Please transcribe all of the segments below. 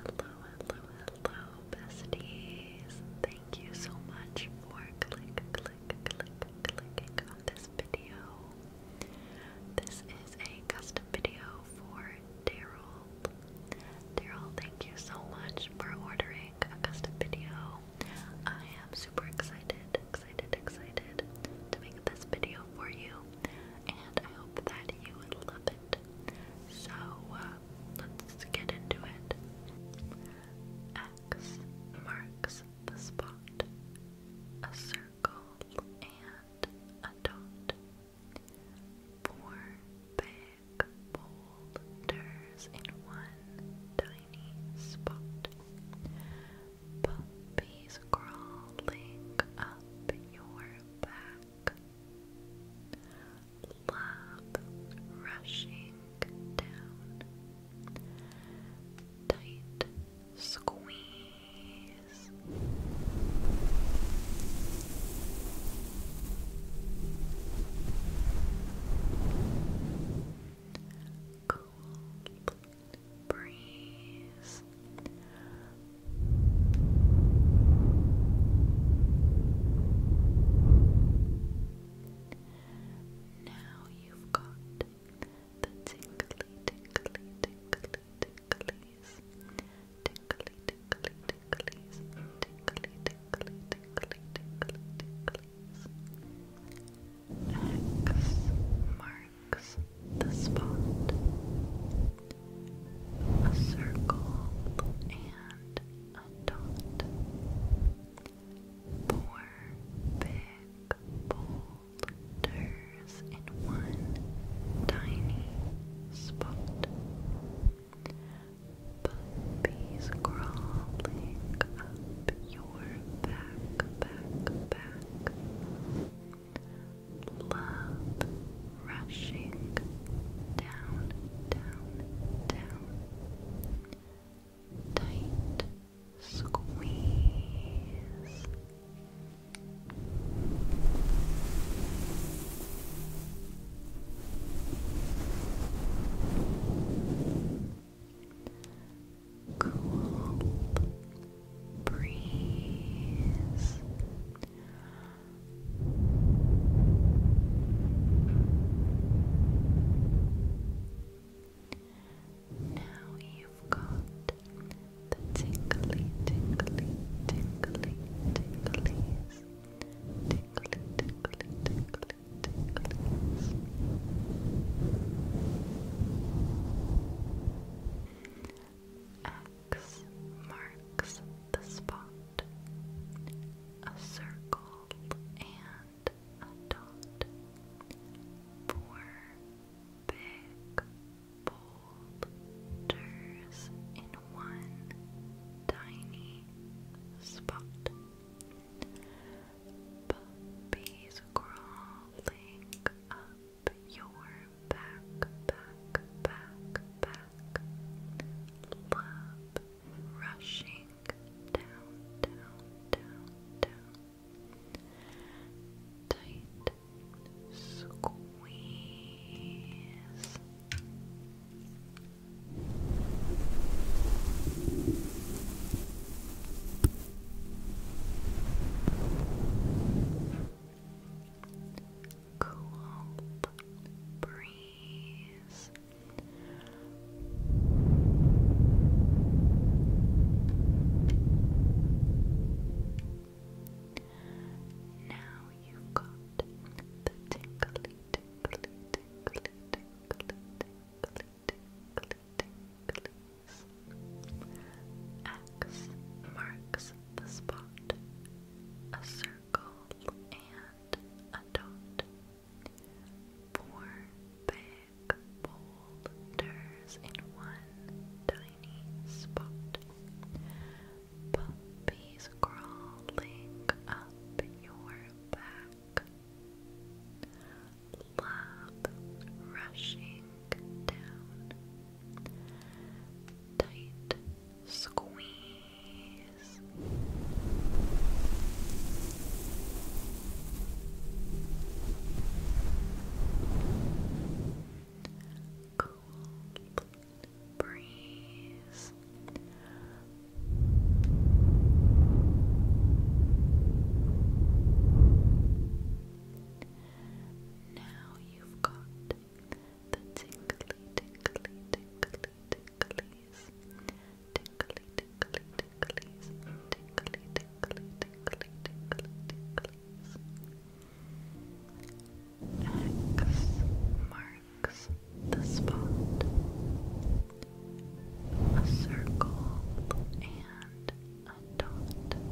hello, hello, besties. Thank you so much for click, click, click, clicking on this video. This is a custom video for Daryl. Daryl, thank you so much for ordering a custom video. I am super excited, excited, excited to make this video for you and I hope that you love it. So uh, let's get into it. X marks the spot, a circle and a dot. Four big boulders in one tiny spot. Puppies crawling up your back smoke, love rushing down, tight squeeze. Cold breeze now you've got the tingly, tingly, tingly, tinglies, tingly, tingly, tinglies, tingly, tingly, tingly, tingly, tinglies. X marks marks the spot. A dot. Four big boulders in one tiny spot. Puppies crawling up your back, back, back. Love rushing down, down, down. Tight squeeze. Cool breeze. Now you've got the tingly, tingly, tingly, tinglies, tingly, tingly, tingly, tinglies. X marks the spot. A circle and a dot. Four big boulders in one tiny spot. Puppies crawling up your back, back, back, back. Love rushing down, down, down, down. Tight squeeze cool breeze. Now you got the tinkly, tinkly, tinkly, tinkly, tinkly, tinkly, tinklies X marks the spot, a circle and a dot. Four big boulders in one tiny spot. Puppies crawling up your back. Love rushing down. Tight squeeze. Cold breeze. Now you've got the tinkly, tinkly, tinkly, tinklies, tinkly, tinkly, tinklies, tinkly, tinkly, tinkly, tinkly, tinklies. X marks the spot. A circle and a dot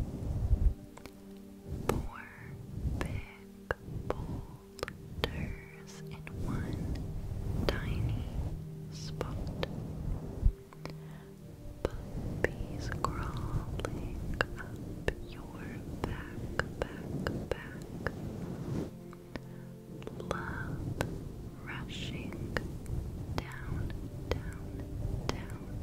four big boulders in one tiny spot. Puppies crawling up your back, back, back. Love rushing down, down, down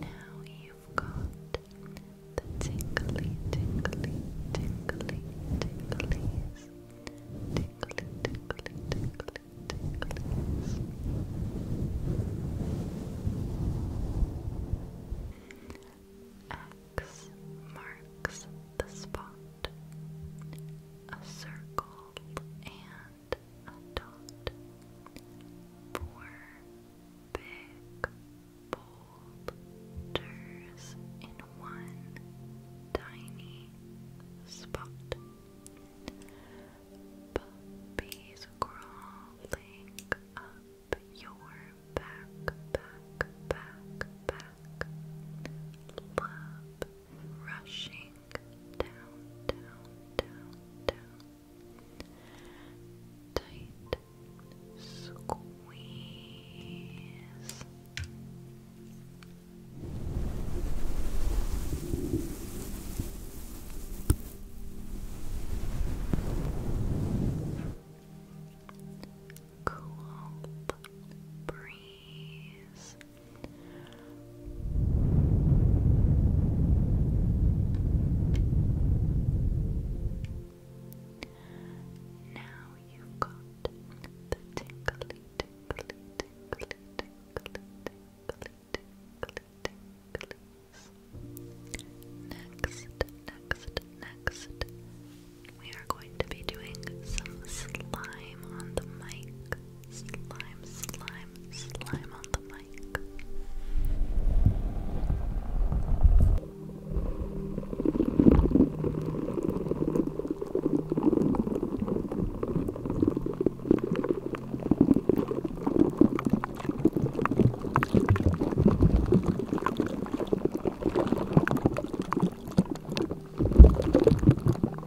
Now you've got the tingly, tingly, tingly, tinglies. Tingly, tingly, tingly, tinglies. X marks the spot. A circle and dot, a dot. Four big boulders in one tiny spot. Puppies crawling up your back, back, back, back. Love rushing down, down, down, down. Tight squeeze. Cool breeze. Now you got the tinkly, tinkly, tinkly, tinkly, tinkly, tinkly, tinklies. Next, next, next, we are going to be doing some slime on the mic slime, slime, slime on the mic.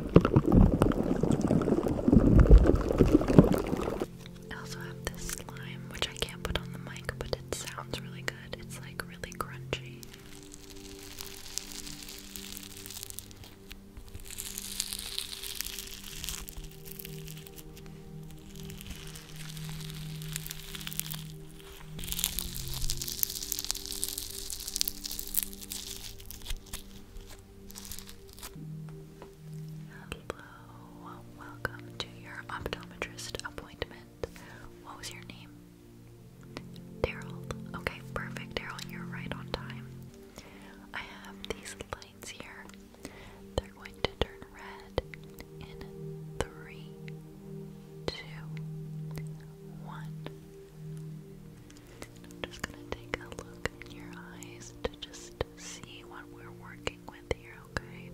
I also have this slime, which I can't put on the mic, but it sounds really good. It's like really crunchy. Hello, welcome to your optometrist appointment. What was your name? Daryl. Okay, perfect, Daryl. You're right on time. I have these lights here. They're going to turn red in three, two, one. I'm just gonna take a look in your eyes to just see what we're working with here, okay?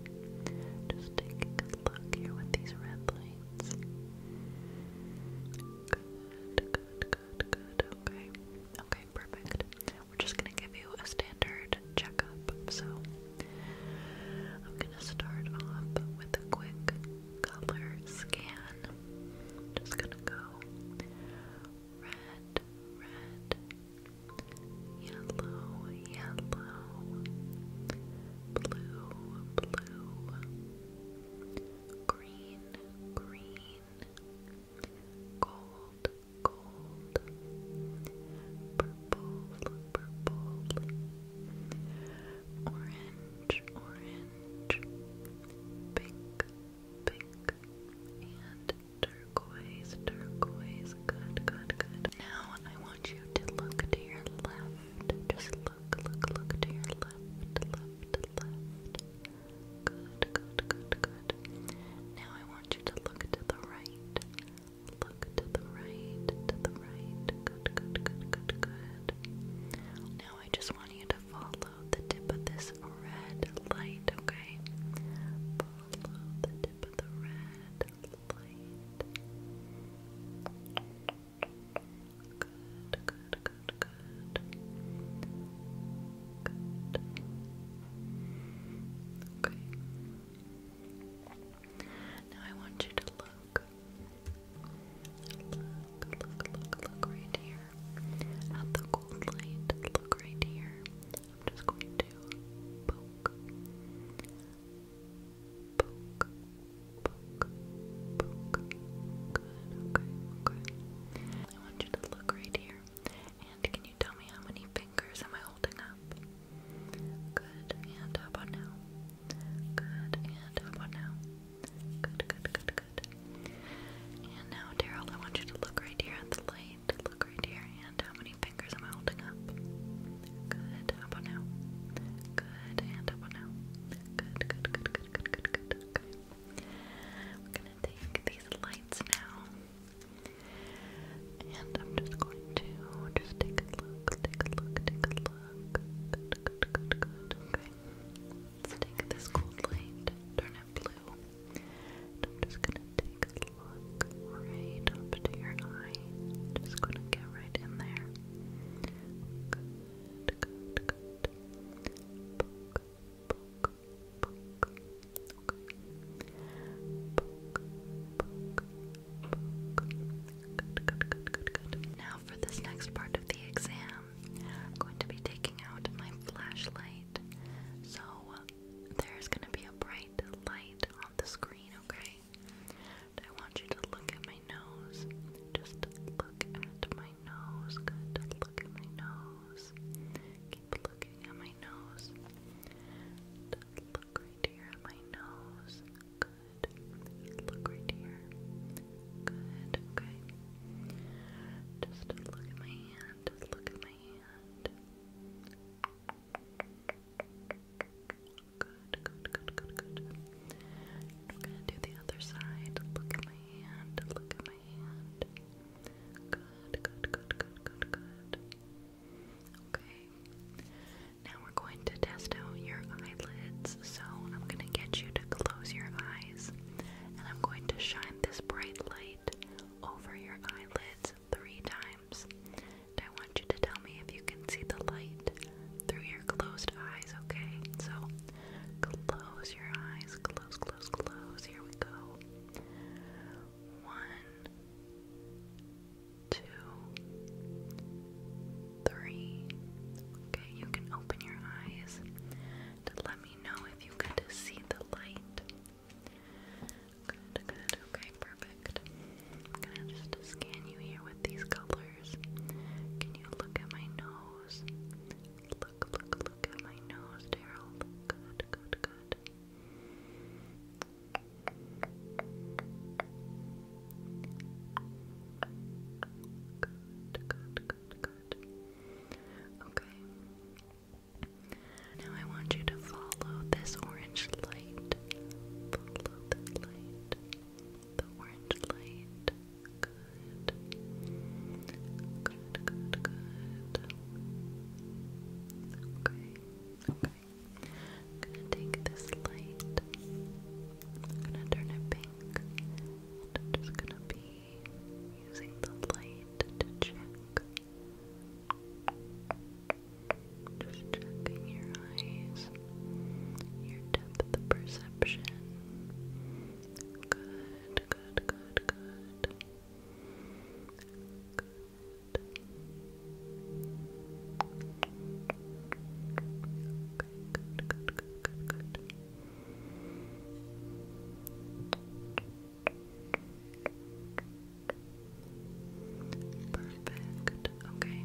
Just take a look here with these red lights. Good, good, good, good, okay. Okay, perfect. We're just gonna give you a standard checkup, so I'm gonna start off with a quick color scan. Just gonna go red, red, yellow, yellow, blue, blue, green, green, gold, gold, purple, purple, orange, orange, pink, pink and turquoise, turquoise, good, good, good. Now I want you to look to your left. Just look, look, look to your left, left, left. Good, good, good, good. Now I want you to look to the right. Look to the right, to the right. Good, good, good, good, good. Now I just want you to follow the tip of this red light, okay? Follow the tip of the red light. Good, good, good, good. Okay. Now I want you to look. Look, look, look, look right here at the gold light. Look right here. I'm just going to poke, poke, poke, poke. Good. Okay. I want you to look right here. And can you tell me how many fingers am I holding up? Good. And how about now? Good. And how about now? Good. Good. Good. Good. And now, Daryl, I want you to look right here at the light. Look right here, and how many fingers am I holding up? Good. How about now? Good. And how about now? Good, good, good, good, good, good, good. Okay. we gonna take these lights now. And I'm just going to just take a look, take a look, take a look. Good, good, good, good. Okay. Let's take this gold light, turn it blue. I'm just gonna take a look right up to your eye. Just gonna get right in there. Good, good, good, good, good. Now for this next part of the exam, I'm going to be taking out my flashlight. So there's gonna be a bright light on the screen, okay? I want you to look at my nose. Just look at my nose. Good. Look at my nose. Keep looking at my nose. Just look right here at my nose. Good. Look right here. Good. Okay. Just look at my look at my hand. Good, good, good, good, good. We're gonna do the other side. Look at my hand. Look at my hand. Good, good, good, good, good, good. Okay. Now we're going to test out your eyelids. So I'm gonna get you to close your eyes and I'm going to shine this bright light over your eyelids three times. And I want you to tell me if you can see the light through your closed eyes, okay? So close your eyes, close, close, close. Here we go. One, two, three. Okay, you can open your eyes. Let me know if you could see the light. Good, good, okay, perfect. I'm gonna just scan you here with these colors. Can you look at my nose? Look, look, look at my nose, Daryl. Good, good, good. Good, good, good, Okay. Now I want you to follow this orange light. Follow this light. The orange light. Good. Good, good, good. Okay. Okay. I'm gonna take this light. I'm gonna turn it pink. And I'm just gonna be using the light to check. Just checking your eyes, your depth of perception. Good, good, good, good. Good. Okay, good, good, good, good, good. Perfect. Okay.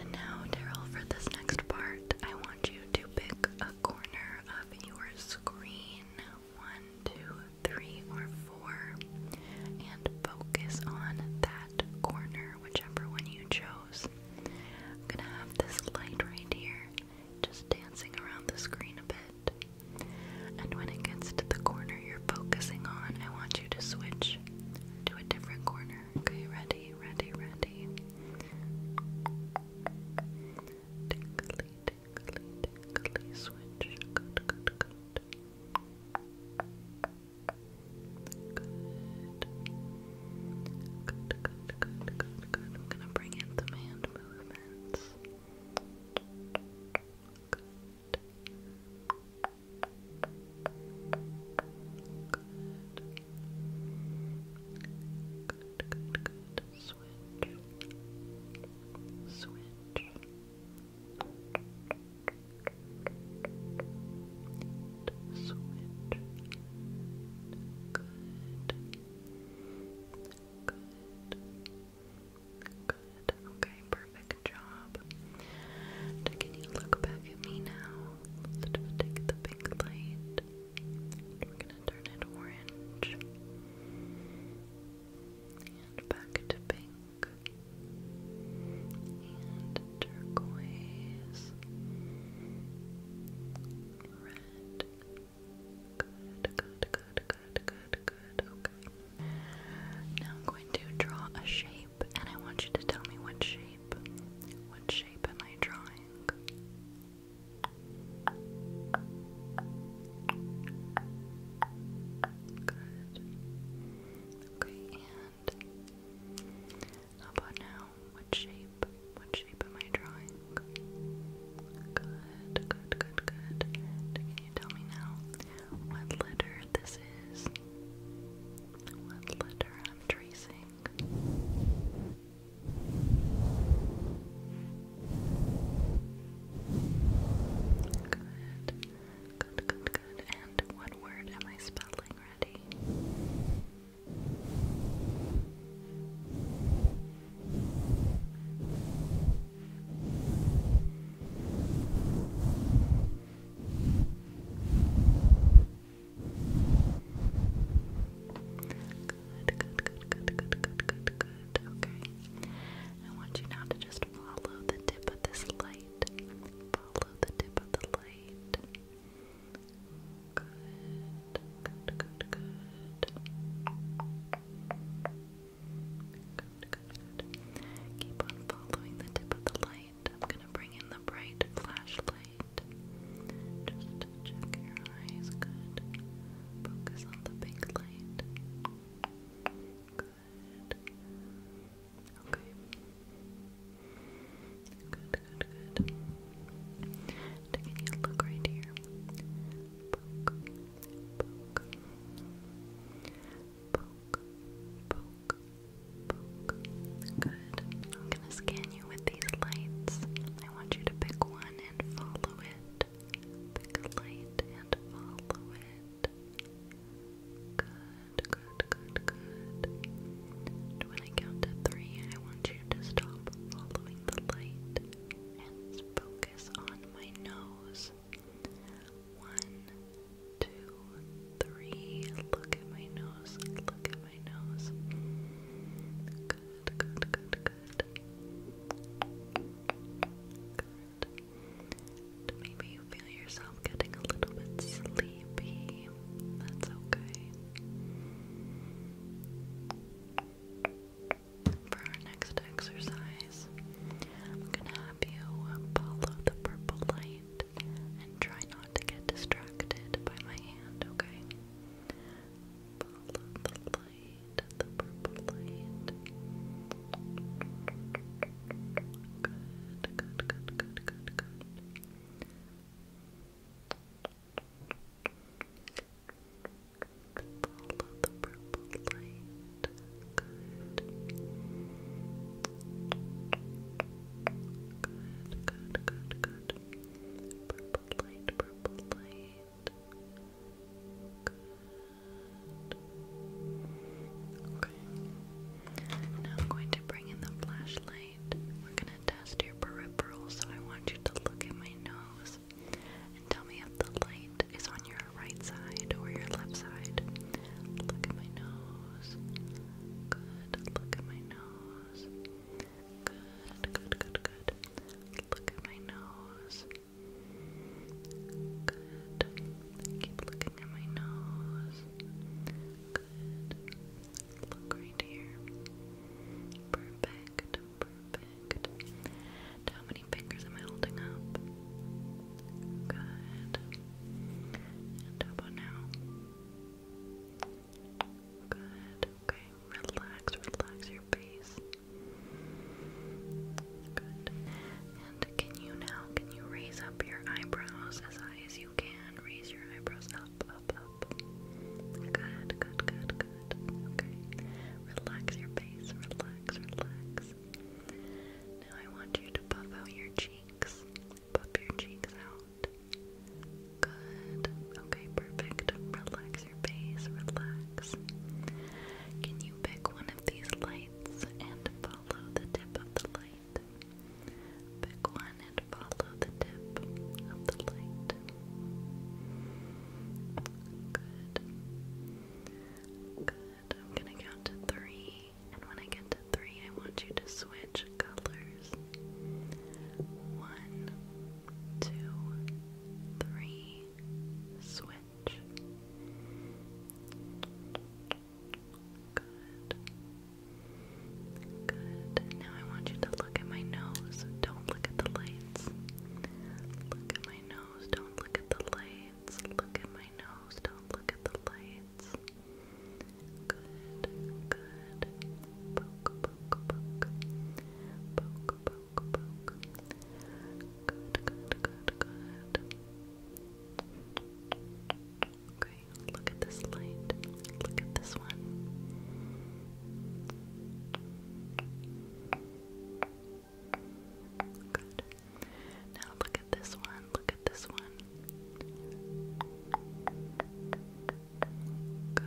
And now, Daryl, for this next part, I want you to pick a corner of your screen one, two, three, or four and focus on that corner, whichever one you chose. I'm gonna have this light right here just dancing around the screen a bit. And when it gets to the corner you're focusing on, I want you to switch to a different corner. Okay, ready, ready, ready. Tickly, tickly, tickly, switch. good, good. Good. Good, good, good, good, good. I'm gonna bring in some hand movements. Good. Good. Good, good, good. Switch. Switch. Switch. Good. Good. Okay, perfect job. can you look back at me now? Let's take the pink light. We're gonna turn it orange. back to pink. And turquoise. Now I'm going to draw a shape, and I want you to tell me what shape. What shape am I drawing? Good. Okay, how about now? What shape? What shape am I drawing? Good, good, good, good. Can you tell me now what letter this is? What letter I'm tracing? Good, good, good, good. And what word am I spelling? Ready? good, good, good, good, good. Okay. I want you now to just follow the tip of this light. Follow the tip of the light. Good, good, good, good. Good, good. Keep on following the tip of the light. I'm gonna bring in the bright flashlight. Just check your eyes. Good. Focus on the pink light. Good. Okay. Good, good, good. Taking a look right here. Poke, poke, poke, poke, poke. Good. I'm gonna scan you with these lights. I want you to pick one and follow it. Pick a light and follow it. Good, good, good, good when I count to three, I want you to stop following the light and focus on my nose. One, two, three. Look at my nose. Look at my nose. good, good, good. Good. Maybe you feel yourself getting a little bit sleepy me. That's okay. For our next exercise, I'm gonna have you follow the purple light and try not to get distracted by my hand, okay? Follow the light, the purple light. Good, good, good, good, good, good. Follow the purple light. Good. Good, good, good, good. Purple light, purple light. Good. Okay. Now I'm going to bring in the flashlight. We're gonna test your peripheral, so I want you to look at my nose and tell me if the light is on your right side or your left side. Look at my nose. Good. Look at my nose. Good, good, good, good. Look at my nose. Good. Keep looking at my nose. Good. Look right here. Perfect, perfect. how many fingers am I holding up? Good. And how about now? Good. Okay. Relax, relax your face. Good. And can you now, can you raise up your eyebrows as high as you you can raise your eyebrows up, up, up. Good, good, good, good. Okay. Relax your face, relax, relax. Now I want you to puff out your cheeks. Puff your cheeks out. Good. Okay, perfect. Relax your face, relax. Can you pick one of these lights and follow the tip of the light? Pick one and follow the tip of the light. Good. Good. I'm gonna count to three, and when I get to three, I want you to switch colors. One, two, three, switch. Good. Good. Now I want you to look at my nose. Don't look at the lights. Look at my nose. Don't look at the lights. Look at my nose. Don't look at the lights. Good. Good. Poke, poke, poke. Poke, poke, poke. Good, good, good, good. Okay, look at this light. Look at this one. Good. Now look at this one. Look at this one. Good.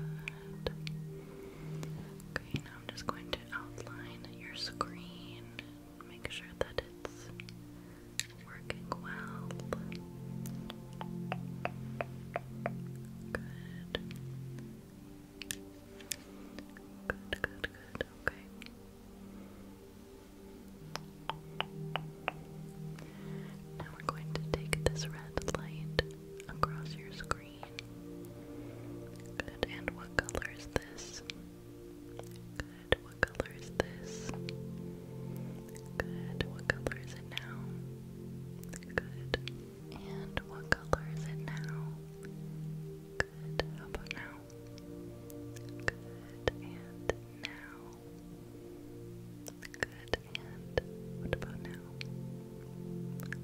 Okay, now I'm just going to outline your screen. Make sure that it's working well. Good. Good, good, Okay. Now we're going to take this red light across your screen. Good. And what color is this? Good. What color is this? Good. What color is it now? Good. And what color is it now? Good. How about now? Good. And now. Good. And what about now?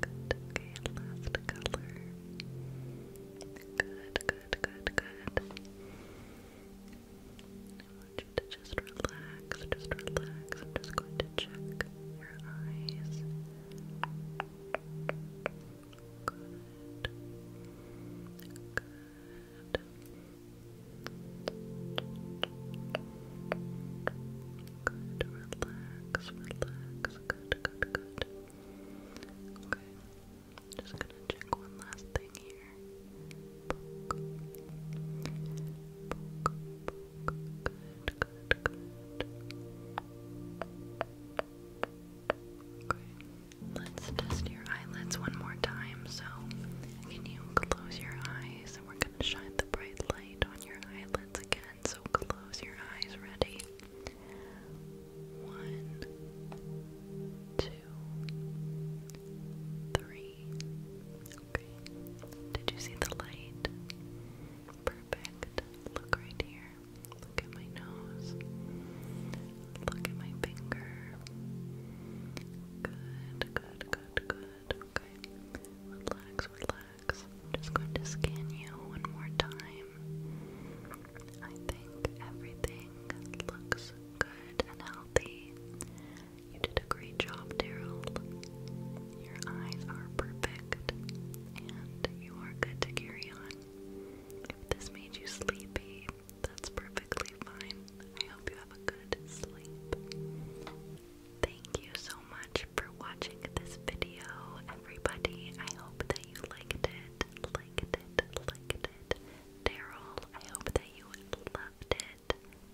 Good. Okay. Last color. Good. Good. Good. Good. I want you to just relax, just relax. I'm just going to check your eyes. Good. Good. Good, relax, relax, good, good, good. Okay, just gonna check one last thing here. Okay, let's test your eyelids one more time. So, can you close your eyes? And we're going to shine the bright light on your eyelids again. So, close your eyes. Ready? One, two, three. Did you see the light? Perfect. Look right here. Look at my nose. Look at my finger. Good, good, good, good. Okay. Relax, relax. just going to scan you one more time. I think everything looks good and healthy. You did a great job, Daryl. Your eyes are perfect, and you are good to carry on. If this made you sleepy, that's perfectly fine. I hope you have a good sleep. Thank you so much for watching this video, everybody. I hope that you liked it, liked it, liked it. Daryl, I hope that you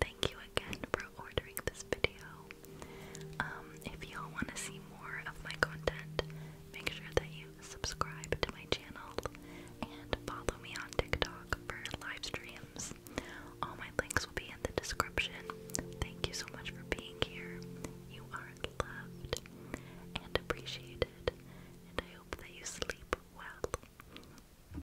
Thank you again for ordering this video. Um, if y'all want to see more of my content, make sure that you subscribe to my channel and follow me on TikTok for live streams. All my links will be in the description. Thank you so much for being here. You are loved and appreciated, and I hope that you sleep well.